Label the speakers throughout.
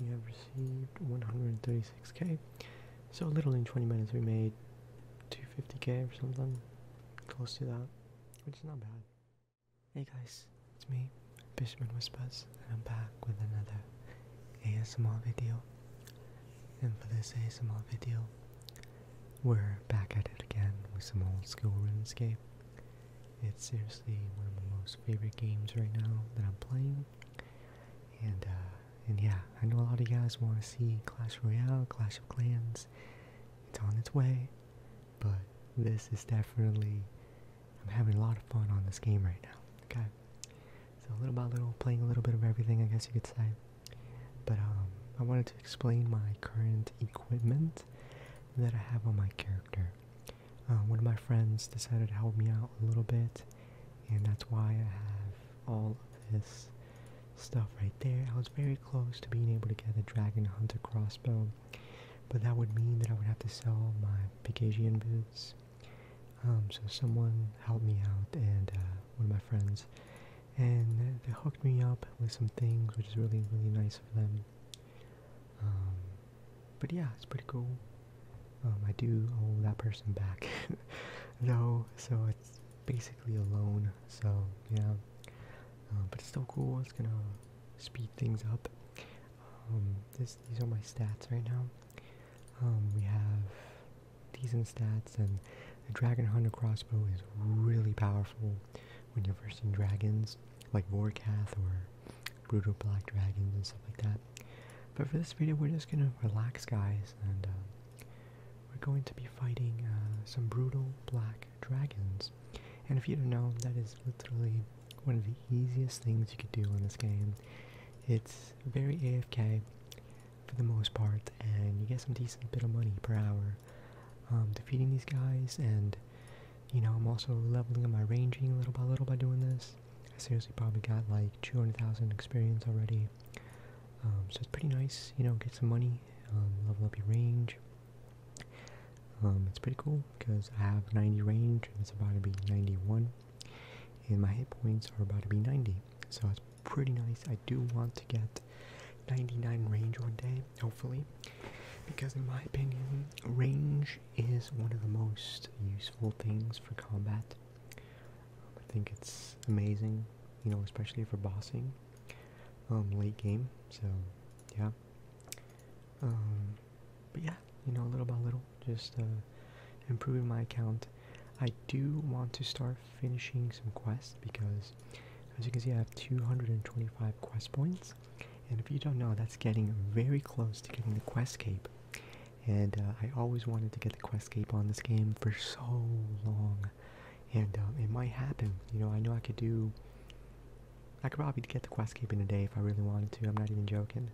Speaker 1: You have received 136k. So a little in 20 minutes we made 250k or something. Close to that. Which is not bad. Hey guys, it's me, Fisherman Whispers, and I'm back with another ASMR video. And for this ASMR video, we're back at it again with some old school RuneScape. It's seriously one of my most favorite games right now that I'm playing. And uh, and yeah, I know a lot of you guys want to see Clash Royale, Clash of Clans. It's on its way, but this is definitely I'm having a lot of fun on this game right now. Okay, so little by little, playing a little bit of everything, I guess you could say. But um, I wanted to explain my current equipment that I have on my character. Uh, one of my friends decided to help me out a little bit, and that's why I have all of this stuff right there. I was very close to being able to get the Dragon Hunter crossbow, but that would mean that I would have to sell my Pegasian boots. Um, so someone helped me out, and uh, one of my friends and they hooked me up with some things, which is really, really nice of them. Um, but yeah, it's pretty cool. Um, I do owe that person back, though, so it's basically alone. so yeah. Um, but it's still cool, it's gonna speed things up. this, these are my stats right now. we have decent stats, and the Dragon Hunter crossbow is really powerful when you're versing dragons, like Vorkath or brutal black dragons and stuff like that. But for this video, we're just gonna relax, guys, and um, we're going to be fighting uh, some brutal black dragons. And if you don't know, that is literally one of the easiest things you could do in this game. It's very AFK for the most part, and you get some decent bit of money per hour um, defeating these guys, and you know, I'm also leveling up my ranging little by little by doing this. I seriously probably got like 200,000 experience already, um, so it's pretty nice, you know, get some money, um, level up your range. it's pretty cool because I have 90 range and it's about to be 91 and my hit points are about to be 90 so it's pretty nice I do want to get 99 range one day, hopefully, because in my opinion, range is one of the most useful things for combat. I think it's amazing, you know, especially for bossing, um, late game. So, yeah. Um, but yeah, you know, little by little, just uh, improving my account. I do want to start finishing some quests because as you can see, I have 225 quest points, and if you don't know, that's getting very close to getting the quest cape. And uh, I always wanted to get the quest cape on this game for so long, and um, it might happen. You know, I know I could do. I could probably get the quest cape in a day if I really wanted to. I'm not even joking.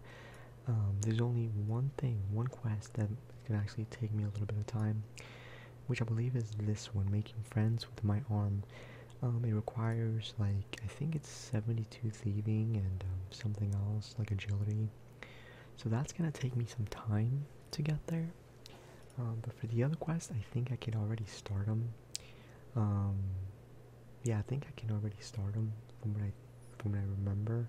Speaker 1: Um, there's only one thing, one quest that can actually take me a little bit of time which I believe is this one, making friends with my arm. Um, it requires like I think it's 72 thieving and um, something else like agility. So that's gonna take me some time to get there. Um, but for the other quest, I think I can already start them. Um, yeah, I think I can already start them from what I from what I remember.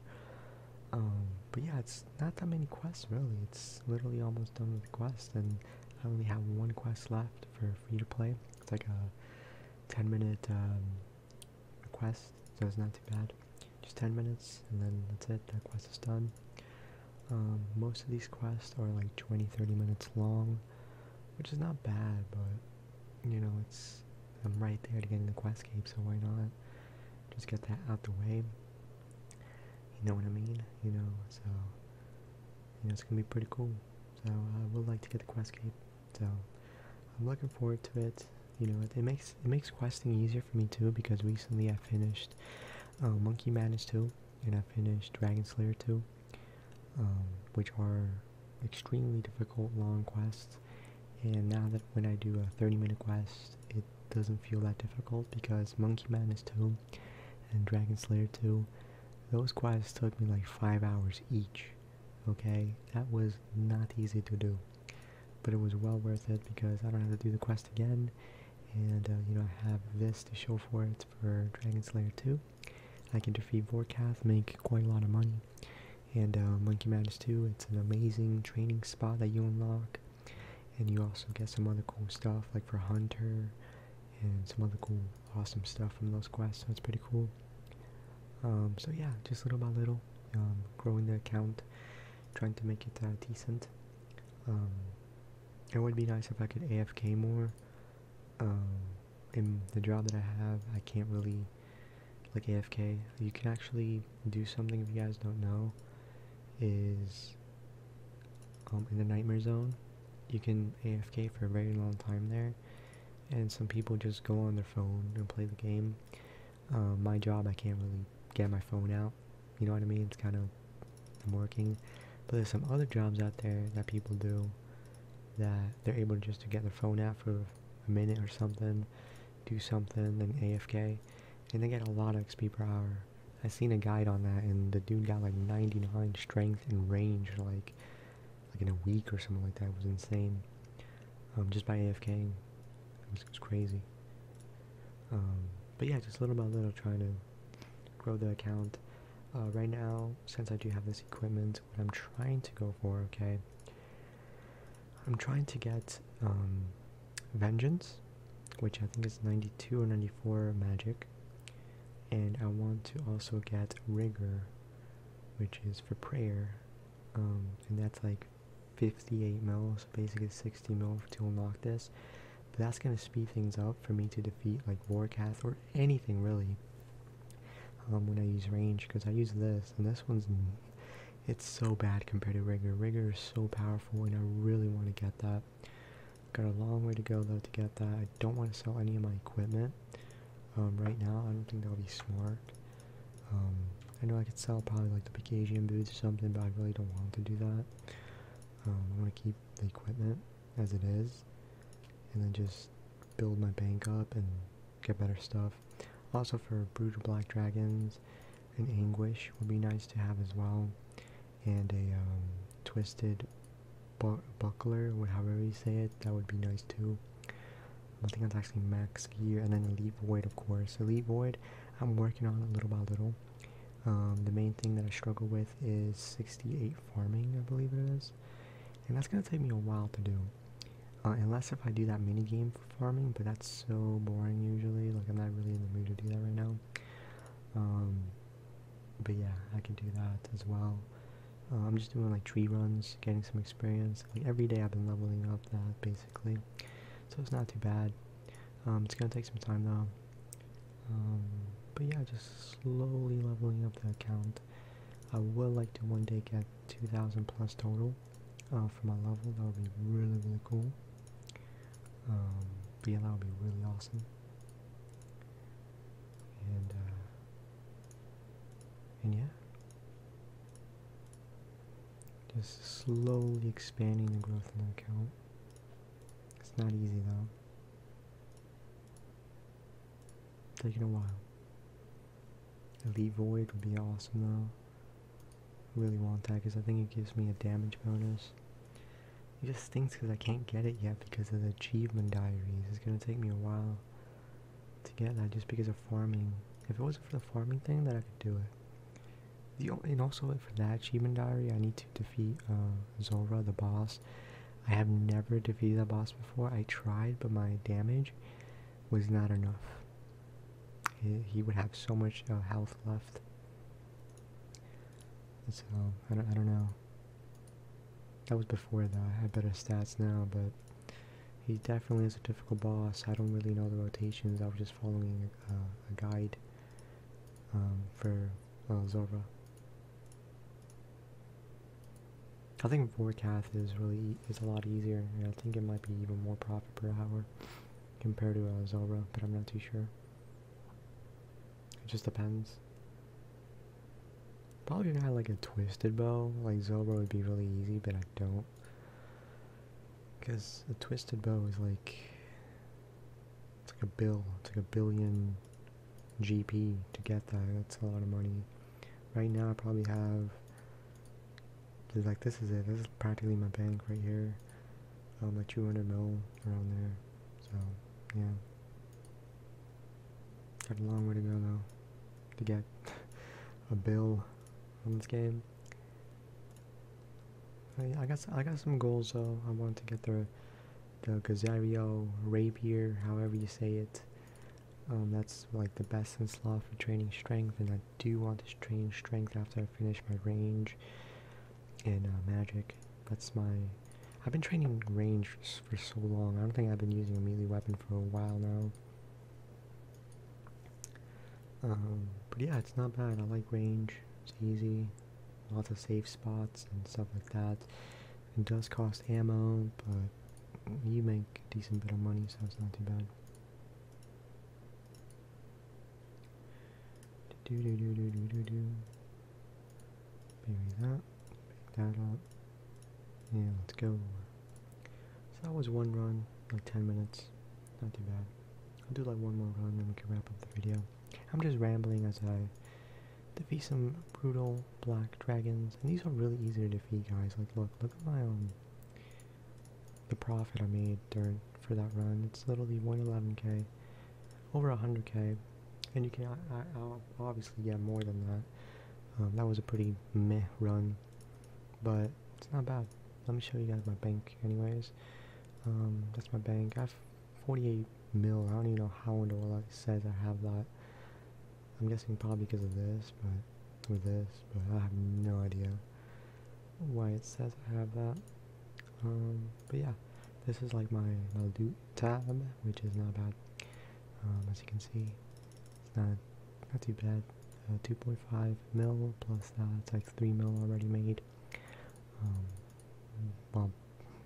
Speaker 1: Um, but yeah, it's not that many quests really. It's literally almost done with quests and. I only have one quest left for free to play. It's like a 10 minute um, quest, so it's not too bad. Just 10 minutes, and then that's it. That quest is done. Um, most of these quests are like 20 30 minutes long, which is not bad, but you know, it's I'm right there to get in the quest cape, so why not just get that out the way? You know what I mean? You know, so and it's gonna be pretty cool. So I would like to get the quest cape. So I'm looking forward to it. You know, it, makes it makes questing easier for me too because recently I finished uh, Monkey Madness 2 and I finished Dragon Slayer 2, um, which are extremely difficult long quests. And now that when I do a 30 minute quest, it doesn't feel that difficult because Monkey Madness 2 and Dragon Slayer 2, those quests took me like five hours each. Okay, that was not easy to do, but it was well worth it because I don't have to do the quest again, and uh, you know I have this to show for it for Dragon Slayer 2. I can defeat Vorkath, make quite a lot of money, and uh, Monkey Madness 2. It's an amazing training spot that you unlock, and you also get some other cool stuff like for Hunter and some other cool, awesome stuff from those quests. So it's pretty cool. Um, so yeah, just little by little, um, growing the account, trying to make it uh, decent. Um, it would be nice if I could AFK more. in the job that I have, I can't really like AFK. You can actually do something if you guys don't know. Is um, in the nightmare zone, you can AFK for a very long time there, and some people just go on their phone and play the game. Uh, my job, I can't really get my phone out. You know what I mean? It's kind of I'm working, but there's some other jobs out there that people do that they're able just to get their phone out for a minute or something, do something, then AFK, and they get a lot of XP per hour before. I seen a guide on that, and the dude got like 99 strength and range, like like in a week or something like that. It was insane. Um, just by AFKing, it was, it was crazy. Um, but yeah, just little by little trying to grow the account. Uh, right now, since I do have this equipment, what I'm trying to go for, okay, I'm trying to get um, Vengeance which I think is 92 or 94 magic. And I want to also get rigor, which is for prayer. Um, and that's like 58 mil, so basically 60 mil to unlock this. But that's going to speed things up for me to defeat like Warcath or anything really um, when I use range, because I use this, and this one's, it's so bad compared to Rigor. Rigor is so powerful, and I really want to get that. Got a long way to go though to get that. I don't want to sell any of my equipment um, right now. I don't think that'll be smart. Um, I know I could sell probably like the Picasian boots or something, but I really don't want to do that. Um, I want to keep the equipment as it is, and then just build my bank up and get better stuff. Also for brutal Black Dragons and Anguish would be nice to have as well and a um, twisted buckler, whatever you say it. That would be nice too. I think that's actually max gear, and then elite void, of course. Elite void, I'm working on a little by little. Um, the main thing that I struggle with is 68 farming, I believe it is, and that's gonna take me a while to do. Uh, unless if I do that mini game for farming, but that's so boring usually. Like I'm not really in the mood to do that right now. Um, but yeah, I can do that as well. Uh, I'm just doing like tree runs, getting some experience. every day I've been leveling up that basically. So it's not too bad. Um, it's gonna take some time though. Um, but yeah, just slowly leveling up the account. I would like to one day get 2,000 plus total uh, for my level. That would be really, really cool. Um, yeah, that would be really awesome and uh, and yeah just slowly expanding the growth in the account it's not easy though taking a while elite void would be awesome though I really want that because I think it gives me a damage bonus it just stinks because I can't get it yet because of the achievement diaries. It's gonna take me a while to get that just because of farming. If it wasn't for the farming thing, then I could do it. The and also for that achievement diary, I need to defeat uh, Zora the boss. I have never defeated that boss before. I tried, but my damage was not enough. He, would have so much uh, health left. So I don't, I don't know. That was before though. I have better stats now, but he definitely is a difficult boss. I don't really know the rotations. I was just following uh, a, guide um, for uh, I think Vorkath is really is a lot easier, and I think it might be even more profit per hour compared to uh, but I'm not too sure. It just depends. Probably if I had like a twisted bow, like zebra would be really easy, but I don't. Because a twisted bow is like, it's like a bill, it's like a billion GP to get that, that's a lot of money. Right now I probably have, like this is it, this is practically my bank right here. Um, like 200 mil around there, so yeah. Got a long way to go though to get a bill on this game. I, got I got some goals though. I want to get the the Gazario rapier, however you say it. Um, that's like the best in Slaw for training strength, and I do want to train strength after I finish my range in uh, Magic. That's my... I've been training range for so long. I don't think I've been using a melee weapon for a while now. Um, but yeah, it's not bad. I like range. It's easy. Lots of safe spots and stuff like that. It does cost ammo, but you make a decent bit of money, so it's not too bad. Do do do do do do do. Bury that, pick that up, Yeah, let's go. So that was one run, like 10 minutes, not too bad. I'll do like one more run, then we can wrap up the video. I'm just rambling as I defeat some brutal black dragons, and these are really easy to defeat, guys. Like, look, look at my own um, the profit I made during for that run. It's literally 111k over 100k and you can I, I, obviously get more than that um, that was a pretty meh run but it's not bad let me show you guys my bank anyways um, that's my bank I have 48 mil I don't even know how in the world it says I have that I'm guessing probably because of this but with this but I have no idea why it says I have that um, but yeah this is like my little tab, which is not bad. Um, as you can see, it's not not too bad. Uh, 2.5 mil plus that's like 3 mil already made. Um, well,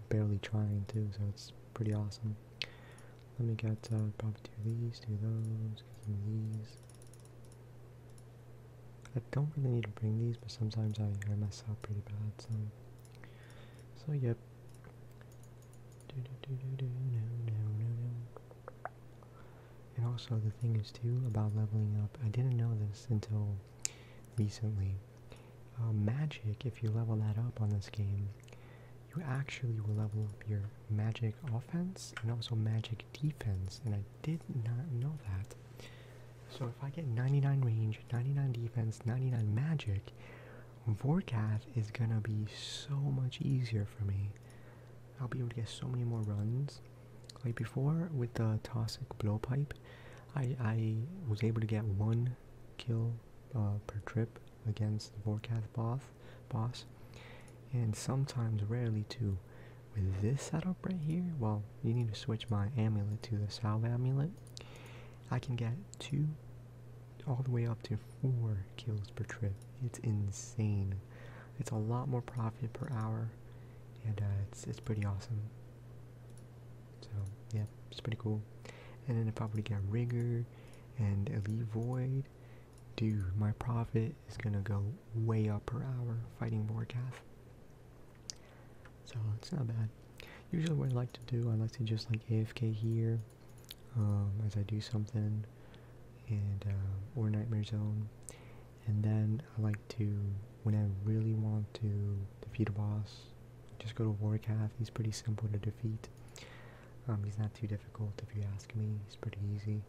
Speaker 1: barely trying too, so it's pretty awesome. Let me get uh, probably two of these, two of those, some of these. I don't really need to bring these, but sometimes I, I mess up pretty bad, so so yep. And also the thing is too about leveling up. I didn't know this until recently. Uh, magic, if you level that up on this game, you actually will level up your magic offense and also magic defense. And I did not know that. So if I get 99 range, 99 defense, 99 magic, Vorkath is going to be so much easier for me. I'll be able to get so many more runs. Like before, with the Toxic Blowpipe, I, I was able to get one kill uh, per trip against the boss, boss, and sometimes, rarely, too. With this setup right here, well, you need to switch my amulet to the salve amulet, I can get two, all the way up to four kills per trip. It's insane. It's a lot more profit per hour, and uh, it's it's pretty awesome. So yeah, it's pretty cool. And then if I were to get rigor and elite void, dude, my profit is gonna go way up per hour fighting Vorkath. So it's not bad. Usually what I like to do, I like to just like AFK here um, as I do something and uh, or Nightmare Zone. And then I like to, when I really want to defeat a boss, just go to Warcath. He's pretty simple to defeat. Um, he's not too difficult if you ask me. He's pretty easy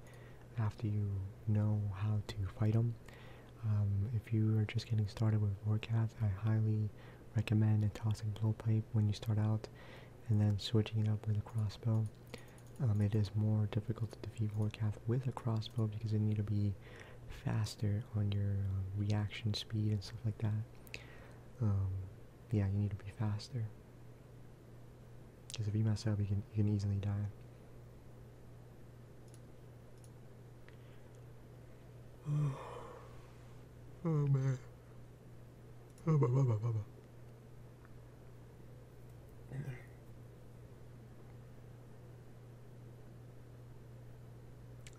Speaker 1: after you know how to fight him. Um, if you are just getting started with VorCat, I highly recommend a tossing blowpipe when you start out and then switching it up with a crossbow. Um, it is more difficult to defeat Vorkath with a crossbow because you need to be faster on your um, reaction speed and stuff like that. yeah, you need to be faster. Because if you mess up, you can, you can easily die. Oh, oh man. Oh, blah, blah, blah, blah, blah.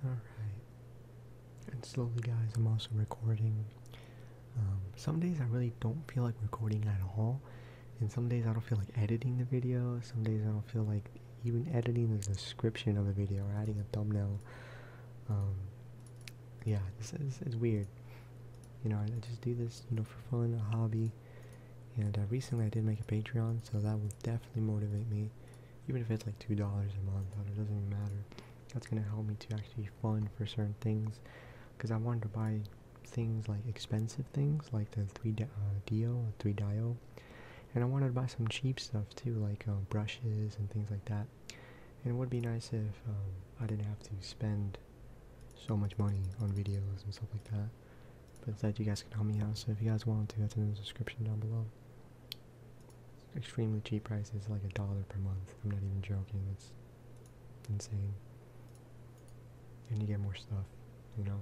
Speaker 1: Alright. And slowly, guys, I'm also recording. Um, some days I really don't feel like recording at all. And some days I don't feel like editing the video. Some days I don't feel like even editing the description of a video or adding a thumbnail. Um, yeah, this is it's weird. You know, I just do this, you know, for fun, a hobby. And uh, recently I did make a Patreon, so that will definitely motivate me. Even if it's like $2 a month, it doesn't even matter. That's going to help me to actually fund for certain things. Because I wanted to buy things like expensive things, like the 3 uh, Dio, 3 Dio and I wanted to buy some cheap stuff too, like um, brushes and things like that. And it would be nice if um, I didn't have to spend so much money on videos and stuff like that. But instead, you guys can help me out. So if you guys want to, that's in the description down below. extremely cheap prices, like a dollar per month. I'm not even joking. It's insane. And you get more stuff, you know.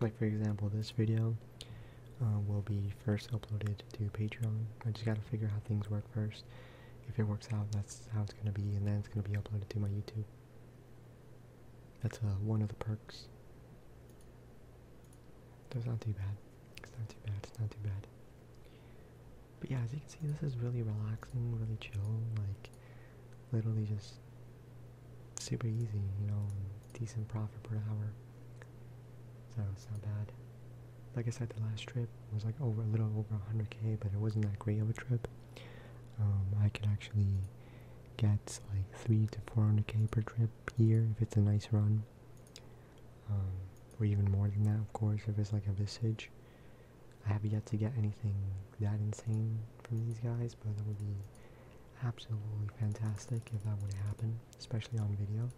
Speaker 1: Like for example, this video uh, will be first uploaded to Patreon. I just gotta figure how things work first. If it works out, that's how it's gonna be, and then it's gonna be uploaded to my YouTube. That's uh, one of the perks. So it's not too bad. It's not too bad. It's not too bad. But yeah, as you can see, this is really relaxing, really chill. Like literally just super easy, you know, decent profit per hour. So it's not bad. Like I said, the last trip was like over a little over 100k, but it wasn't that great of a trip. Um, I can actually get like three to 400k per trip here if it's a nice run, um, or even more than that, of course, if it's like a visage. I have yet to get anything that insane from these guys, but that would be absolutely fantastic if that would happen, especially on video.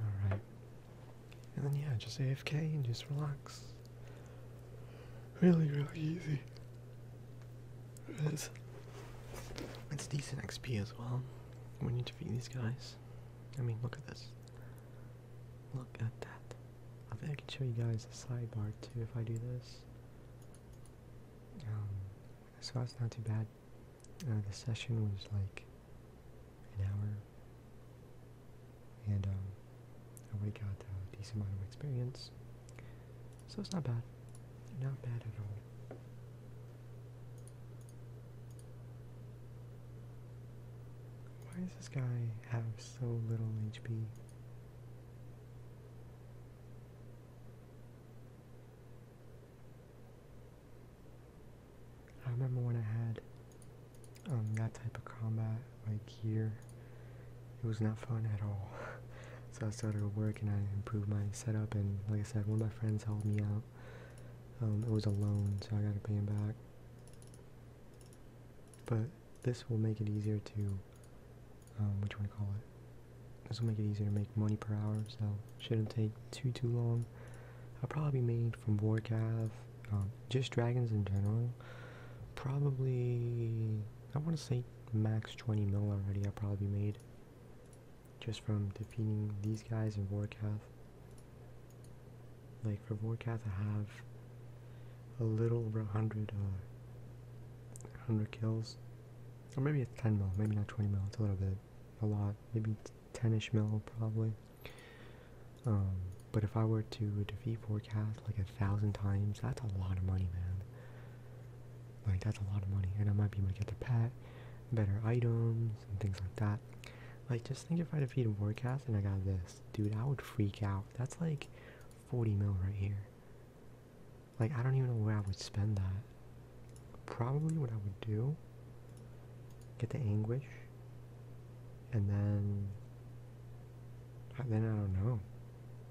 Speaker 1: Alright. And then yeah, just AFK and just relax really, really easy. It's, it's decent XP as well We need to defeat these guys. I mean, look at this. Look at that. I think I can show you guys the sidebar too if I do this. Um, so that's not too bad. Uh, the session was like an hour, and um, I already got a decent amount of experience, so it's not bad, not bad at all. Why does this guy have so little HP? I remember when I had um, that type of combat, like here, it was not fun at all. so I started work and I improved my setup, and like I said, one of my friends helped me out. Um, it was a loan, so I got to pay him back. But this will make it easier to, um, what do call it? This will make it easier to make money per hour, so shouldn't take too, too long. I'll probably be made from Vorkav um, just dragons in general, probably I want to say max 20 mil already. I probably made just from defeating these guys in Vorkath. Like for Vorkath, I have a little over 100, uh, 100 kills, or maybe it's 10 mil, maybe not 20 mil. It's a little bit, a lot, maybe 10ish mil probably. Um, but if I were to defeat forecast like a thousand times, that's a lot of money, man. Like that's a lot of money, and I might be able to get the pet, better items, and things like that. Like just think if I defeated forecast and I got this, dude, I would freak out. That's like 40 mil right here. Like I don't even know where I would spend that. Probably what I would do. Get the anguish, and then uh, then I don't know.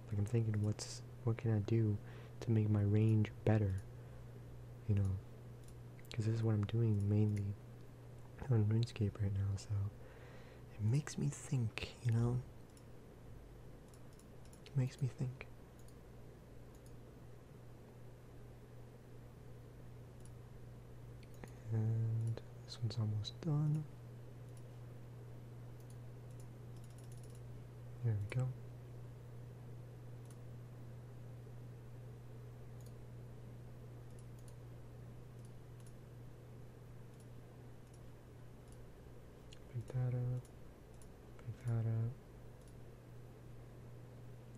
Speaker 1: Like I'm thinking, what's what can I do to make my range better? You know, because this is what I'm doing mainly on RuneScape right now. So it makes me think. You know, it makes me think. And this one's almost done. There we go. Pick that up. Pick that up.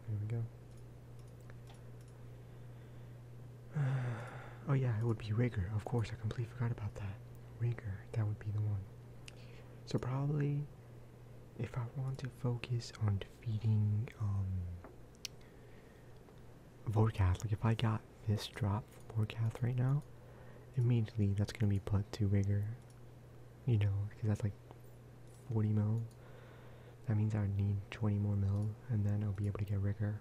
Speaker 1: There we go. oh yeah, it would be Rigger. Of course, I completely forgot about that. Rigger, that would be the one. So probably, if I want to focus on defeating um, Vorkath, like if I got this drop from Vorkath right now, immediately that's gonna be put to Rigger. You know, because that's like 40 mil. That means I would need 20 more mil, and then I'll be able to get Rigger.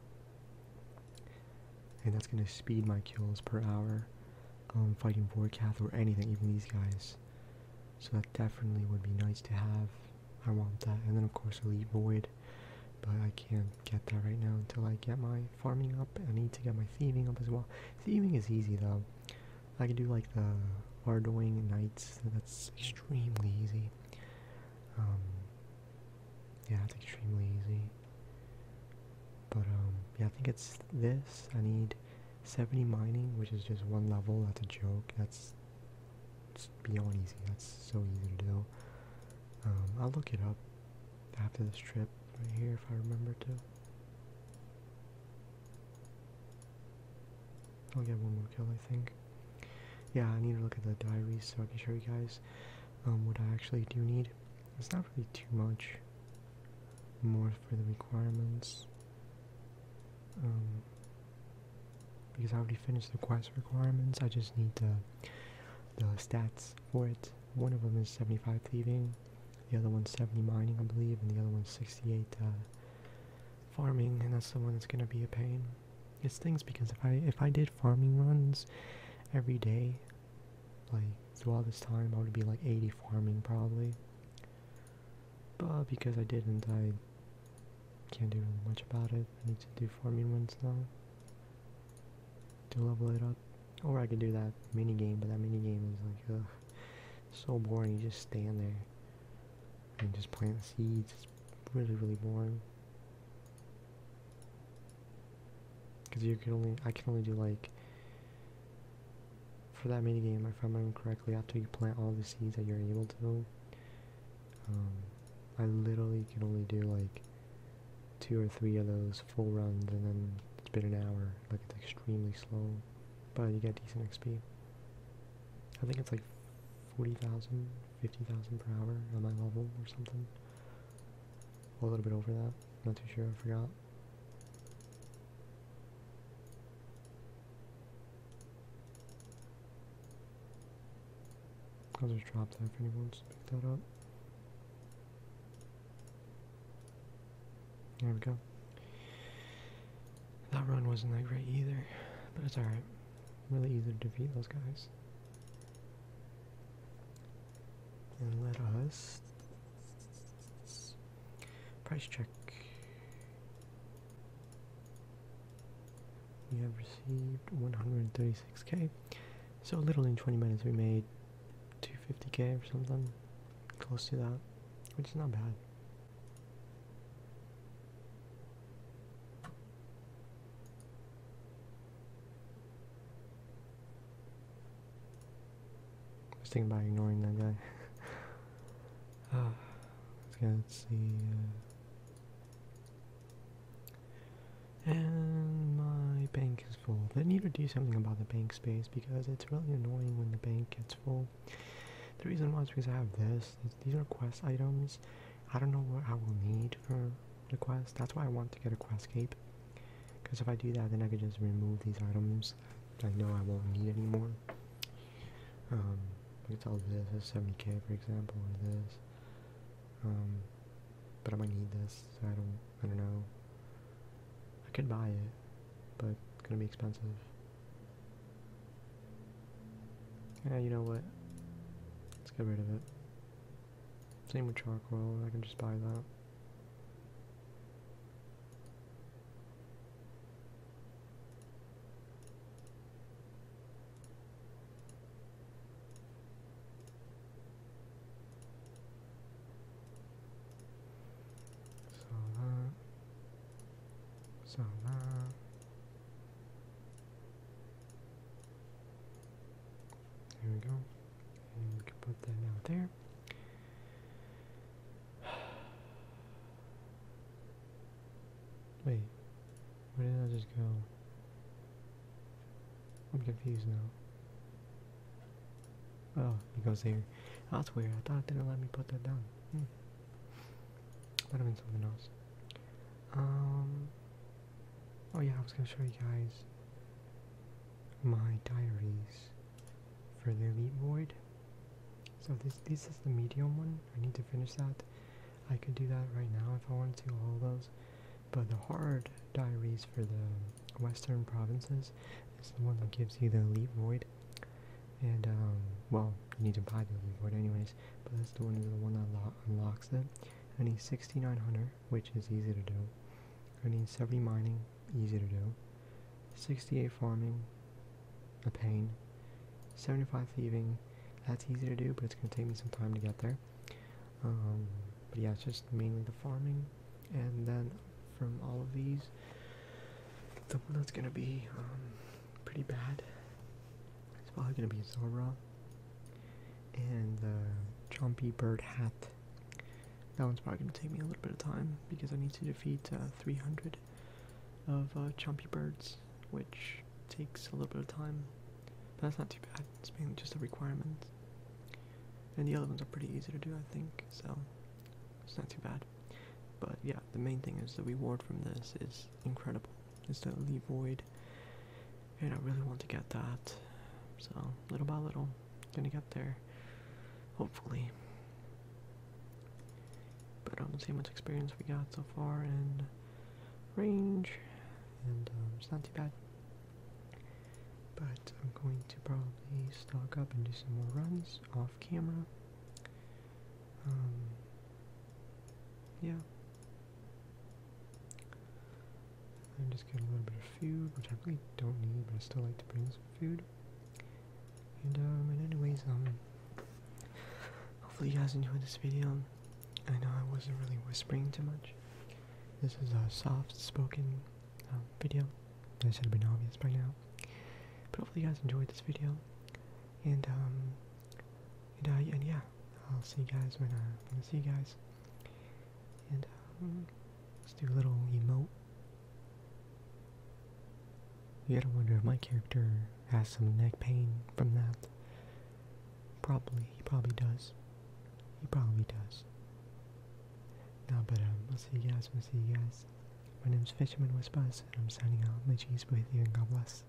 Speaker 1: And that's going to speed my kills per hour. Um, fighting Vorkath or anything, even these guys. So that definitely would be nice to have. I want that. And then of course Elite Void. But I can't get that right now until I get my farming up. I need to get my thieving up as well. Thieving is easy though. I can do like the Ardoing Knights. That's extremely easy. Um, yeah, it's extremely easy. But um, yeah, I think it's this. I need 70 mining, which is just one level. That's a joke. That's beyond easy. That's so easy to do. Um, I'll look it up after this trip right here if I remember to. I'll oh, get one more kill, I think. Yeah, I need to look at the diaries so I can show you guys um, what I actually do need. It's not really too much more for the requirements. Um, because I already finished the quest requirements, I just need the, the stats for it. One of them is 75 thieving, the other one's 70 mining, I believe, and the other one's 68 uh, farming, and that's the one that's going to be a pain. It's things because if I if I did farming runs every day, like throughout this time, I would be like 80 farming probably. But because I didn't, I can't do really much about it. I need to do farming runs now to level it up. Or I could do that mini game, but that mini game is like, so boring. You just stand there and just plant seeds really, really boring. Because you can only, I can only do like, for that mini game, if I remember correctly, after you plant all the seeds that you're able to, um, I literally can only do like two or three of those full runs and then it's been an hour. Like it's extremely slow, but you get decent XP. I think it's like 40,000 50,000 per hour on my level or something. A little bit over that. Not too sure, I forgot. I'll just drop that if anyone wants to pick that up. There we go. That run wasn't that great either, but it's alright. Really easy to defeat those guys. And let us price check. We have received 136k. So literally in 20 minutes we made 250k or something close to that, which is not bad. I was thinking about ignoring that guy. oh, let's see. Uh, and my bank is full. They need to do something about the bank space because it's really annoying when the bank gets full. The reason why is because I have this. These are quest items. I don't know what I will need for the quest. That's why I want to get a quest cape. Because if I do that, then I can just remove these items that I know I won't need anymore. Um, I can tell this 70k, for example, or this. Um, but I might need this, I don't, I don't know. I could buy it, but it's gonna be expensive. Yeah, you know what? Let's get rid of it. Same with charcoal, I can just buy that. So that. There we go. And we can put that down there. Wait, where did I just go? I'm confused now. Oh, it goes here. That's weird. I thought it didn't let me put that down. That hmm. Might have been something else. Um, Oh yeah, I was gonna show you guys my diaries for the Elite Void. So this this is the medium one. I need to finish that. I could do that right now if I wanted to all those. But the hard diaries for the western provinces is the one that gives you the Elite Void. And um, well, you need to buy the Elite Void anyways, but that's the one is the one that unlocks it. I need 6900 which is easy to do. I need 70 mining, easy to do. 68 farming, a pain. 75 thieving, that's easy to do, but it's going to take me some time to get there. Um, but yeah, it's just mainly the farming. And then from all of these, the one that's going to be um, pretty bad it's probably gonna be Zora and the Chompy Bird Hat. That one's probably gonna take me a little bit of time because I need to defeat uh, 300 of uh, Chompy Birds, which takes a little bit of time. But that's not too bad. It's mainly just a requirement. And the other ones are pretty easy to do, I think, so it's not too bad. But yeah, the main thing is the reward from this is incredible is that Void, and I really want to get that. So little by little, gonna get there, hopefully. But um, let's see how much experience we got so far in range, and um, it's not too bad. But I'm going to probably stock up and do some more runs off camera. Um, yeah, I'm just getting a little bit of food, which I really don't need, but I still like to bring some food. And, um, and anyways, um, hopefully you guys enjoyed this video. I know I wasn't really whispering too much. This is a soft-spoken um, video. This should have been obvious by now. But hopefully you guys enjoyed this video. And, um, and, uh, and yeah, I'll see you guys when i see you guys. And um, let's do a little emote. You gotta wonder if my character has some neck pain from that. Probably, he probably does. He probably does. No, but um, I'll see you guys. I'll see you guys. My name's Fisherman Whispers, and I'm signing off. My cheese with you, and God bless.